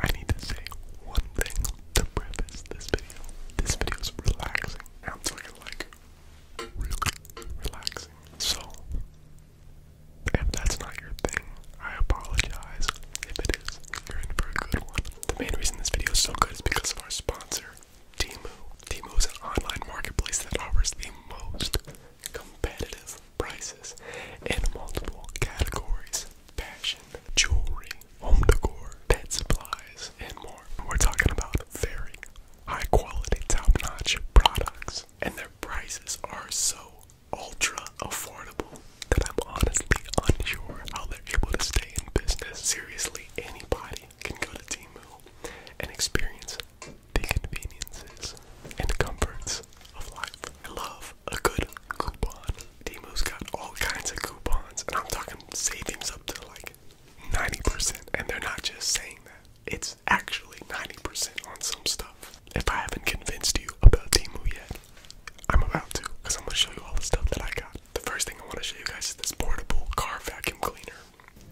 I need to say one thing to preface this video. This video is relaxing. I'm talking like really relaxing. So, if that's not your thing, I apologize. If it is, you're in for a good one. The main reason this video is so good is because of our sponsor, Timu. Timu is an online marketplace that offers the most competitive prices in multiple categories fashion, jewelry, home decor, pet supplies, and more. We're talking about very high quality, top notch products, and their prices are so ultra affordable that I'm honestly unsure how they're able to stay in business. Seriously, anybody can go to Temu and experience the conveniences and comforts of life. I love a good coupon Demu's got all kinds of coupons, and I'm talking savings up to like 90%. And they're not just saying that, it's actually 90% on some stuff. If I haven't convinced you about Demu yet, I'm about to, because I'm going to show you all the stuff that I got. The first thing I want to show you guys is this portable car vacuum cleaner.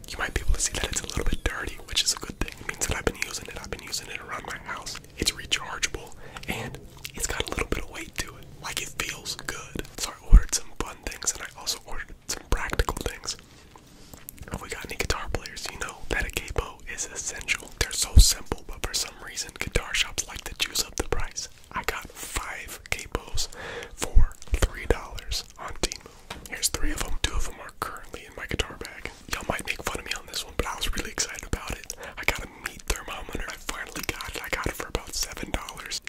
You might be able to see that it's a little bit dirty, which is a good thing. It means that I've been using it. I've been using it around my house. It's rechargeable and it's got a little bit of weight to it. Like it feels good. So I ordered some fun things and I also ordered some practical things. Have we got any guitar players, you know that a capo is essential. They're so simple, but for some reason guitar shops like to juice up the price. I got five capos for three dollars on Timu. Here's three of them. Two of them are currently in my guitar bag. Y'all might make fun of me on this one, but I was really excited about it. I got a meat thermometer. I finally got it. I got it for about $7.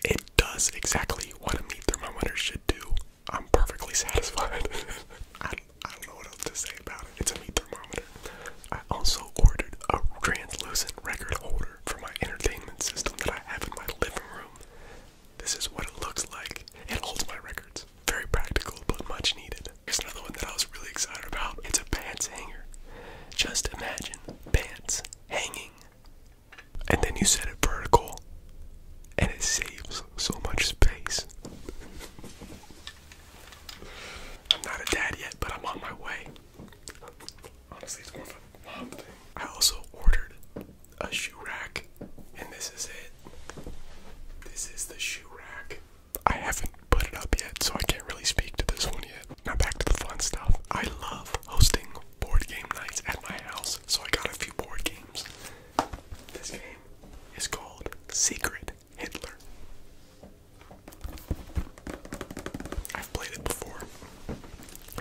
It does exactly what a meat thermometer should do. I'm perfectly satisfied. I, I don't know what else to say about it. It's a meat thermometer. I also ordered a translucent record holder for my entertainment system that I have in my living room. This is what it looks like. It holds my records. Very practical, but much needed. Here's another one that I was really excited about. It's a pants hanger. Just imagine pants hanging. And then you set it vertical, and it saves so much space. I'm not a dad yet, but I'm on my way. Honestly, it's more of I also ordered a shoe rack, and this is it. This is the shoe rack. I haven't put it up yet, so I can't really speak to this one yet. Now back to the fun stuff. I love hosting board game nights at my house, so I got a few board games. This game is called Secret Hitler. I've played it before.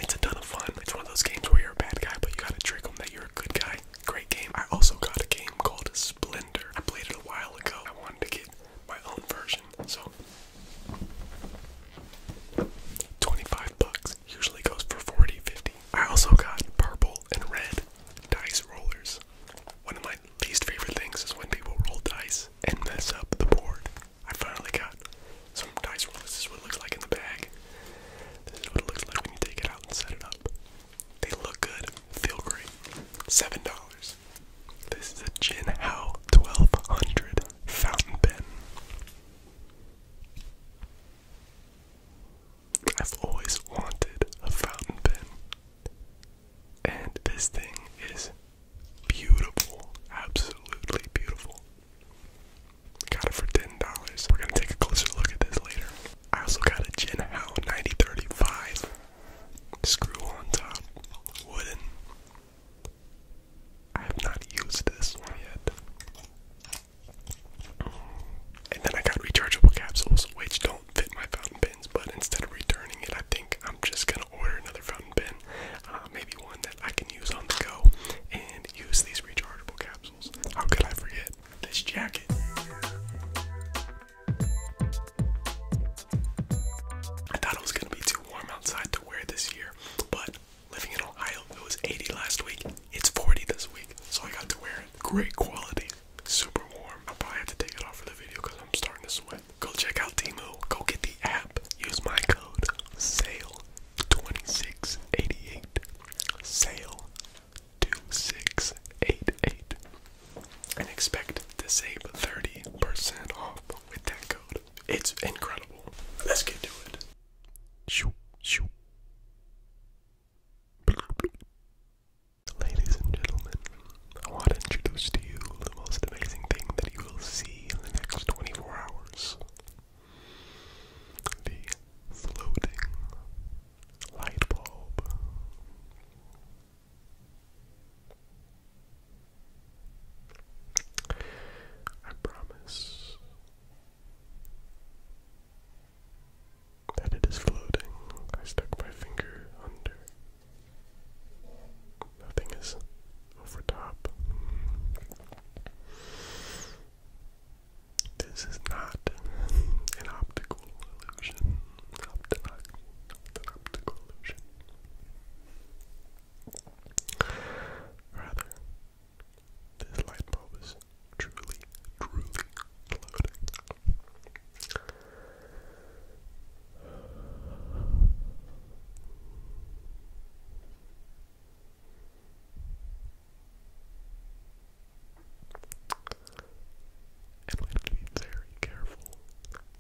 It's a ton of fun. It's one of those games where you're a bad guy, but you gotta trick them that you're a good guy. Great game. I also got a game called Splendor. I played it a while ago. I wanted to get my own version, so 25 bucks usually goes for 40 50 I also got purple and red dice rollers. One of my least favorite things is when people roll dice and mess up the board. I finally got some dice rollers. This is what it looks like in the bag. This is what it looks like when you take it out and set it up. They look good, feel great. $7. This is a Jin Hao 1200 fountain pen. I've always wanted a fountain pen. And this thing is beautiful. Absolutely beautiful. Got it for $10. We're going to take a closer look at this later. I also got a Jin Hao 9035. Screw on top. Wooden. I have not used this one yet. And then I got rechargeable capsules, which don't fit my fountain pens, but instead of returning it, I think I'm just gonna order another fountain pen, uh, maybe one that I can use on the go, and use these rechargeable capsules. How could I forget this jacket? I thought it was gonna be too warm outside to wear this year, but living in Ohio, it was 80 last week. It's 40 this week, so I got to wear it. Great quality, super warm. I probably have to take it off for the video because I'm starting to sweat. Go check out Timu. Go get the app. Use my code sale 2688 sale 2688 and expect to save 30% off with that it's incredible. Let's get to it. Ladies and gentlemen, I want to introduce to you the most amazing thing that you will see in the next 24 hours. The floating light bulb. I promise that it is floating. I stuck my finger under. Nothing is over top. This is not an optical illusion. Opti optical illusion. Rather, this light bulb is truly, truly floating. And we have be very careful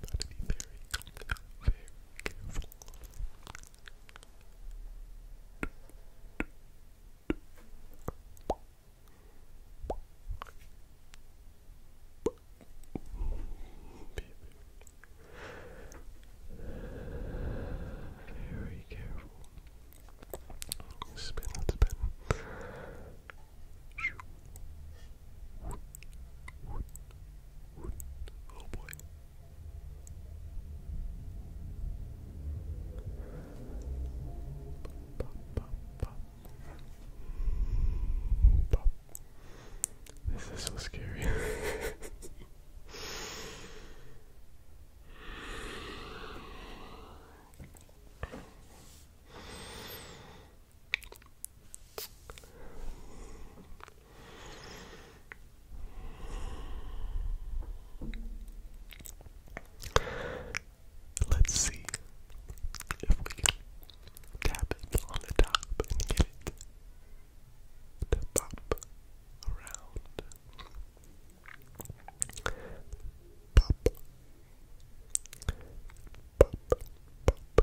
Gotta be very, very careful. Very careful. Spin, spin. Oh boy. This is so scary. Let's see if we can tap it on the top and get it to pop around. Pop. Pop. Pop.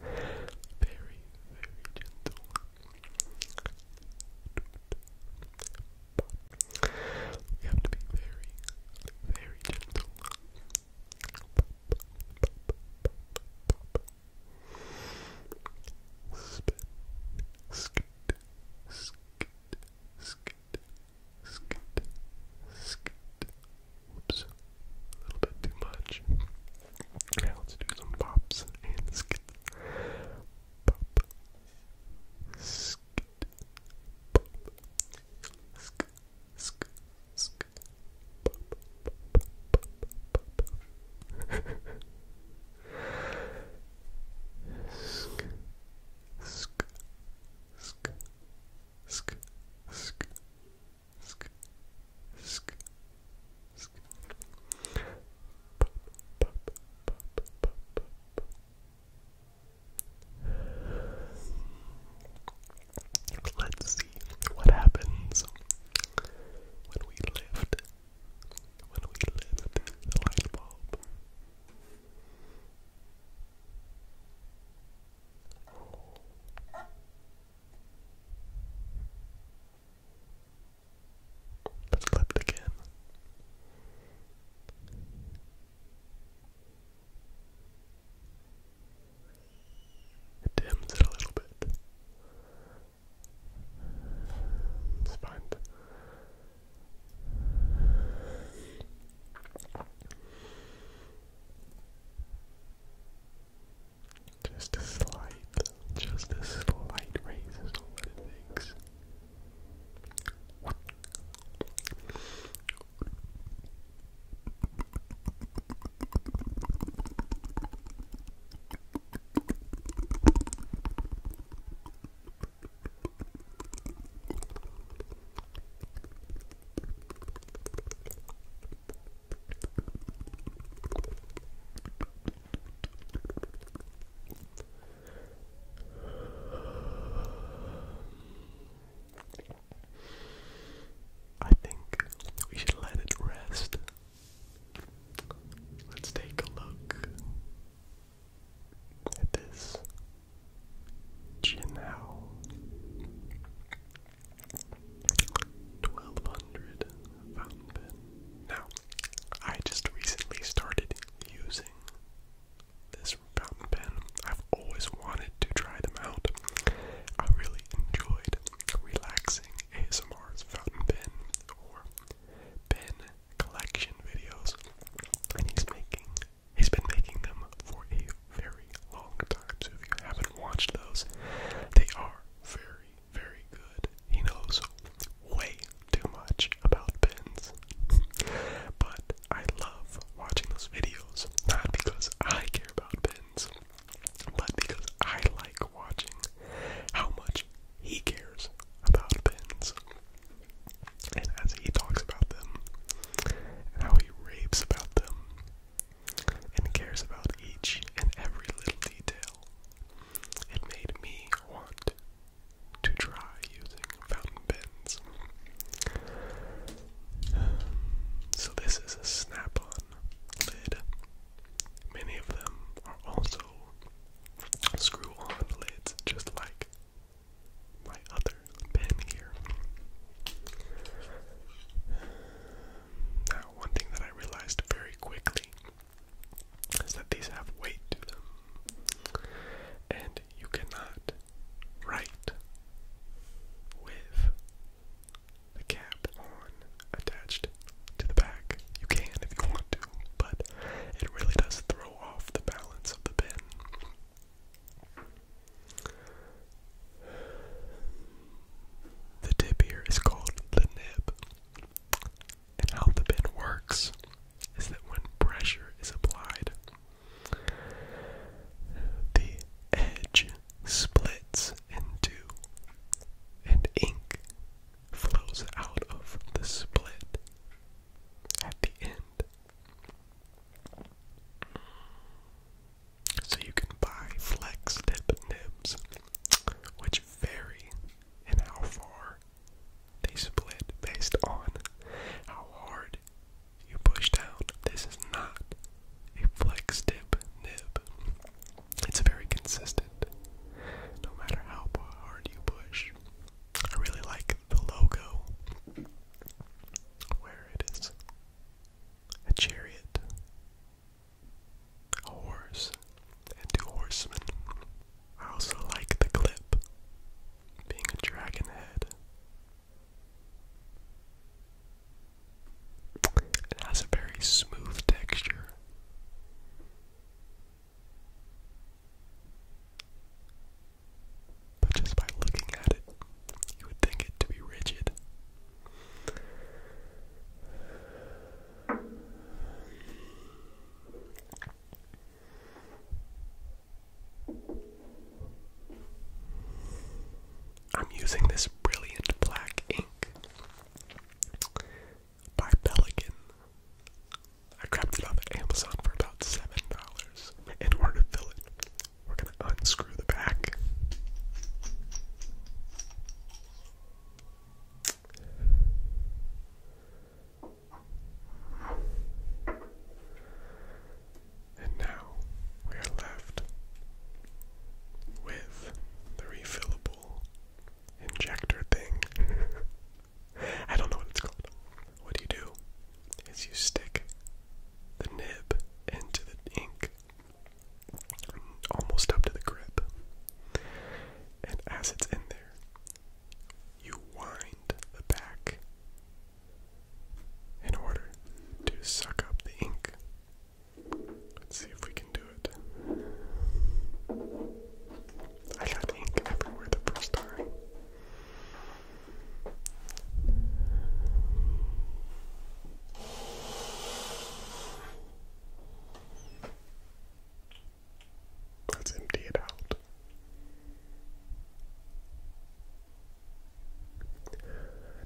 Very, very gentle. have to be very, very gentle. Spin, skid, skid, skid, skid, skid, Oops, a little bit too much. let's do some pops and skit. Pop, skit, pop, sk, sk, sk, pop, pop, pop, pop. sk, sk, sk, sk, sk. Let's see what happens when we lift, when we lift the light bulb. Slept again. It dims it a little bit. It's fine. Just a slight, just a slight raise is all it takes. I think we should let it rest. Let's take a look at this Jinhao twelve hundred fountain pen. Now, I just recently started using this fountain pen. I've always wanted to try them out. I really enjoyed relaxing ASMR's fountain pen or pen collection videos, and he's making. He's been making them for a very long time, so if you haven't watched those, they are very, very good. He knows way too much about pens. but I love watching those videos, not because I care about pens, but because I like watching how much he cares about pens. And as he talks about them, how he raves about them, and cares about each and every little detail. It made me want to try using fountain pens. so, this is a snap on lid. Many of them are also screw on lids, just like my other pen here one thing that I realized very quickly is that these have weight to them, and you cannot write with the cap on attached to the back. You can if you want to, but it really does throw off the balance of the pen. The tip here is called the nib. And how the pen works is that when pressure is applied, the edge splits into, and ink flows out of the split at the end. So you can buy flex tip nibs, which vary in how far they split based on how hard you push down. This is not a flex tip nib. It's very consistent, no matter how hard you push. I really like the logo where it is a chariot a horse, and two horsemen. I also like the clip being a dragon head. It has a very smooth texture. But just by looking at it, you would think it to be rigid, I'm using this brilliant black ink by Pelican. I grabbed it off Amazon for about seven dollars. In order to fill it, we're gonna unscrew the back. And now we are left with the refillable injector thing. I don't know what it's called. What you do is you stick the nib into the ink almost up to the grip. And as it's in there, you wind the back in order to suck up the ink. Let's see if we can do it. I got ink everywhere the first time. Let's empty it out.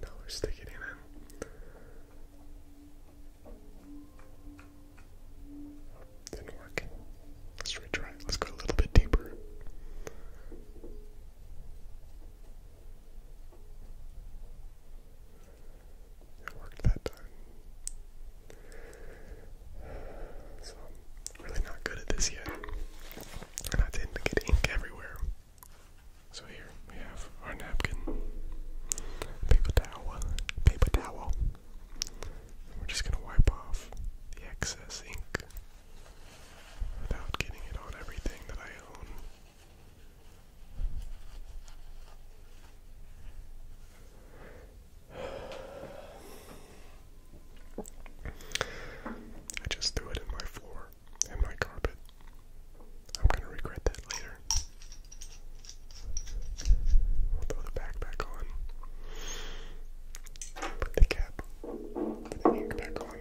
Now we're sticking it in. Didn't work. Let's retry. Let's go a little bit deeper. It worked that time. So I'm really not good at this yet. And I tend to get ink everywhere. So here we have our napkin, paper towel, paper towel. we're just gonna wipe off the excess ink without getting it on everything that I own. I just threw it in my floor and my carpet. I'm gonna regret that later. throw the backpack on. Put the cap, put the ink on.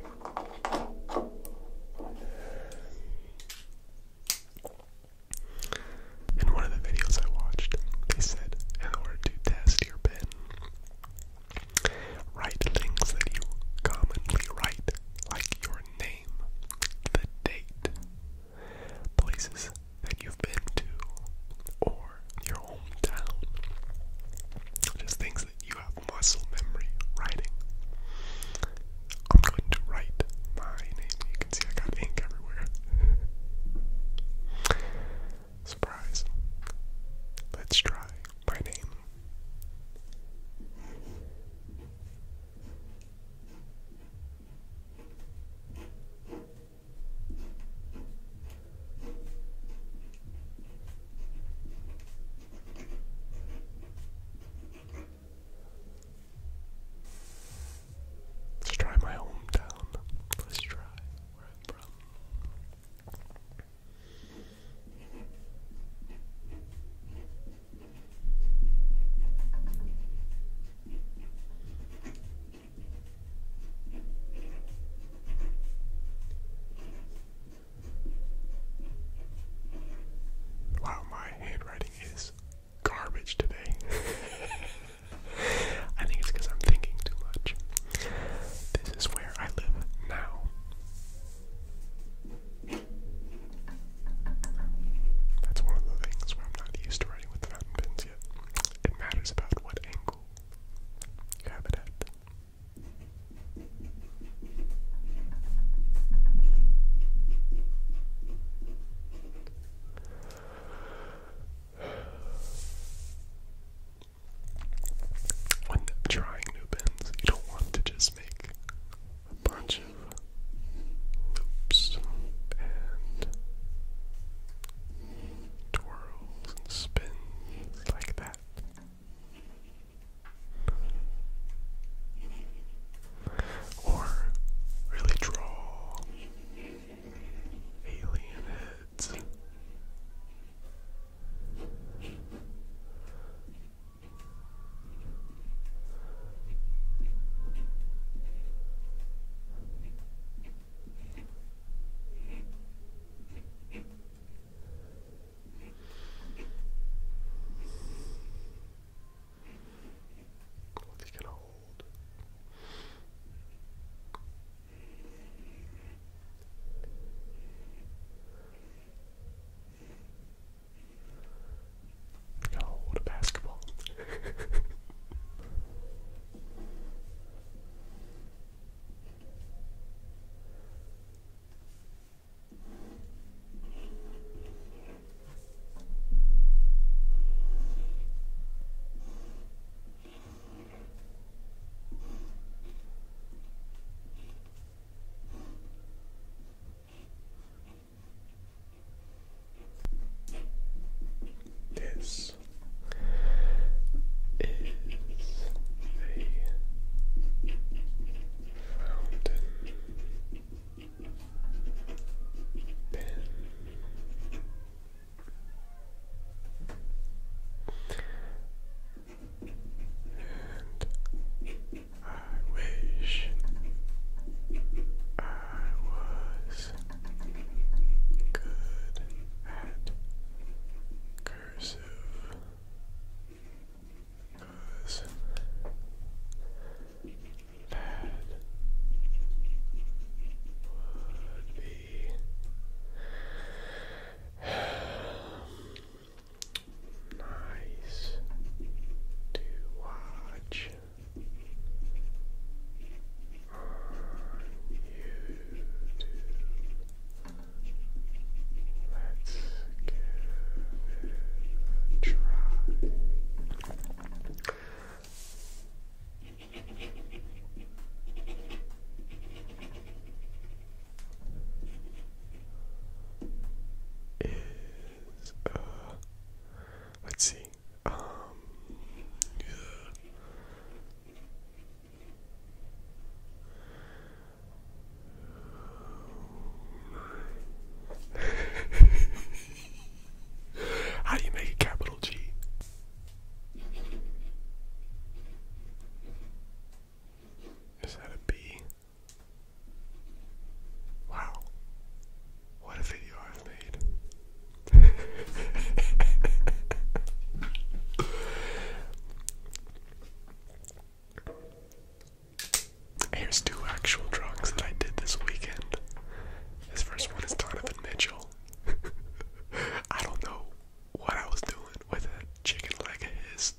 In one of the videos I watched, they said in order to test your pen, write things that you commonly write, like your name, the date, places that you've been to, or your hometown. Just things that you have muscle memory writing. I'm going to write my name. You can see I got ink everywhere. Surprise. Let's try my name. Let's try my hometown. Let's try where I'm from. Wow, my handwriting is garbage today. I think it's because I'm thinking too much. This is where I live now. That's one of the things where I'm not used to writing with fountain pens yet. It matters about what angle you have it at. When trying new bends, you don't want to just make a bunch of loops and twirls and spins like that or really draw alien heads. What's he gonna hold? Gotta hold a basketball. This is the fountain Pen. And I wish I was good at cursive. Cause bad would be nice to watch on YouTube. Let's give it a try is uh let's see. Um oh, How do you make a capital G? Is that a B? Wow. What a video I've made. Here's two actual drawings that I did this weekend. This first one is Donovan Mitchell. I don't know what I was doing with that chicken leg of his.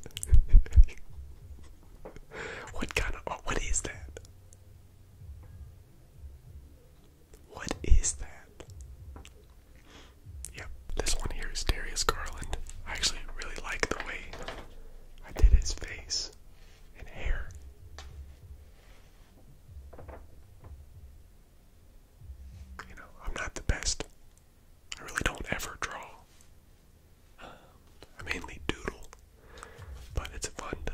what kind of, oh, what is that? What is that? Yep, this one here is Darius Garland. I actually really like the way I did his face and hair. You know, I'm not the best. I really don't ever draw. Um, I mainly doodle, but it's fun to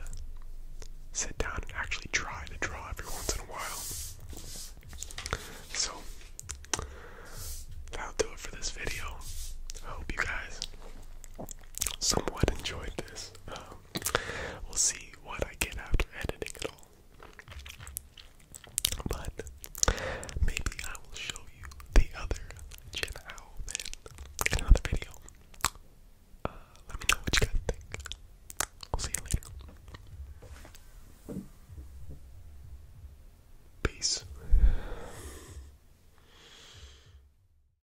sit down and actually try to draw every once in a while. So, that'll do it for this video. I hope you guys somewhat enjoyed this. Um, we'll see what I get after editing it all. But maybe I will show you the other Jim in another video. Uh, let me know what you guys think. I'll see you later. Peace.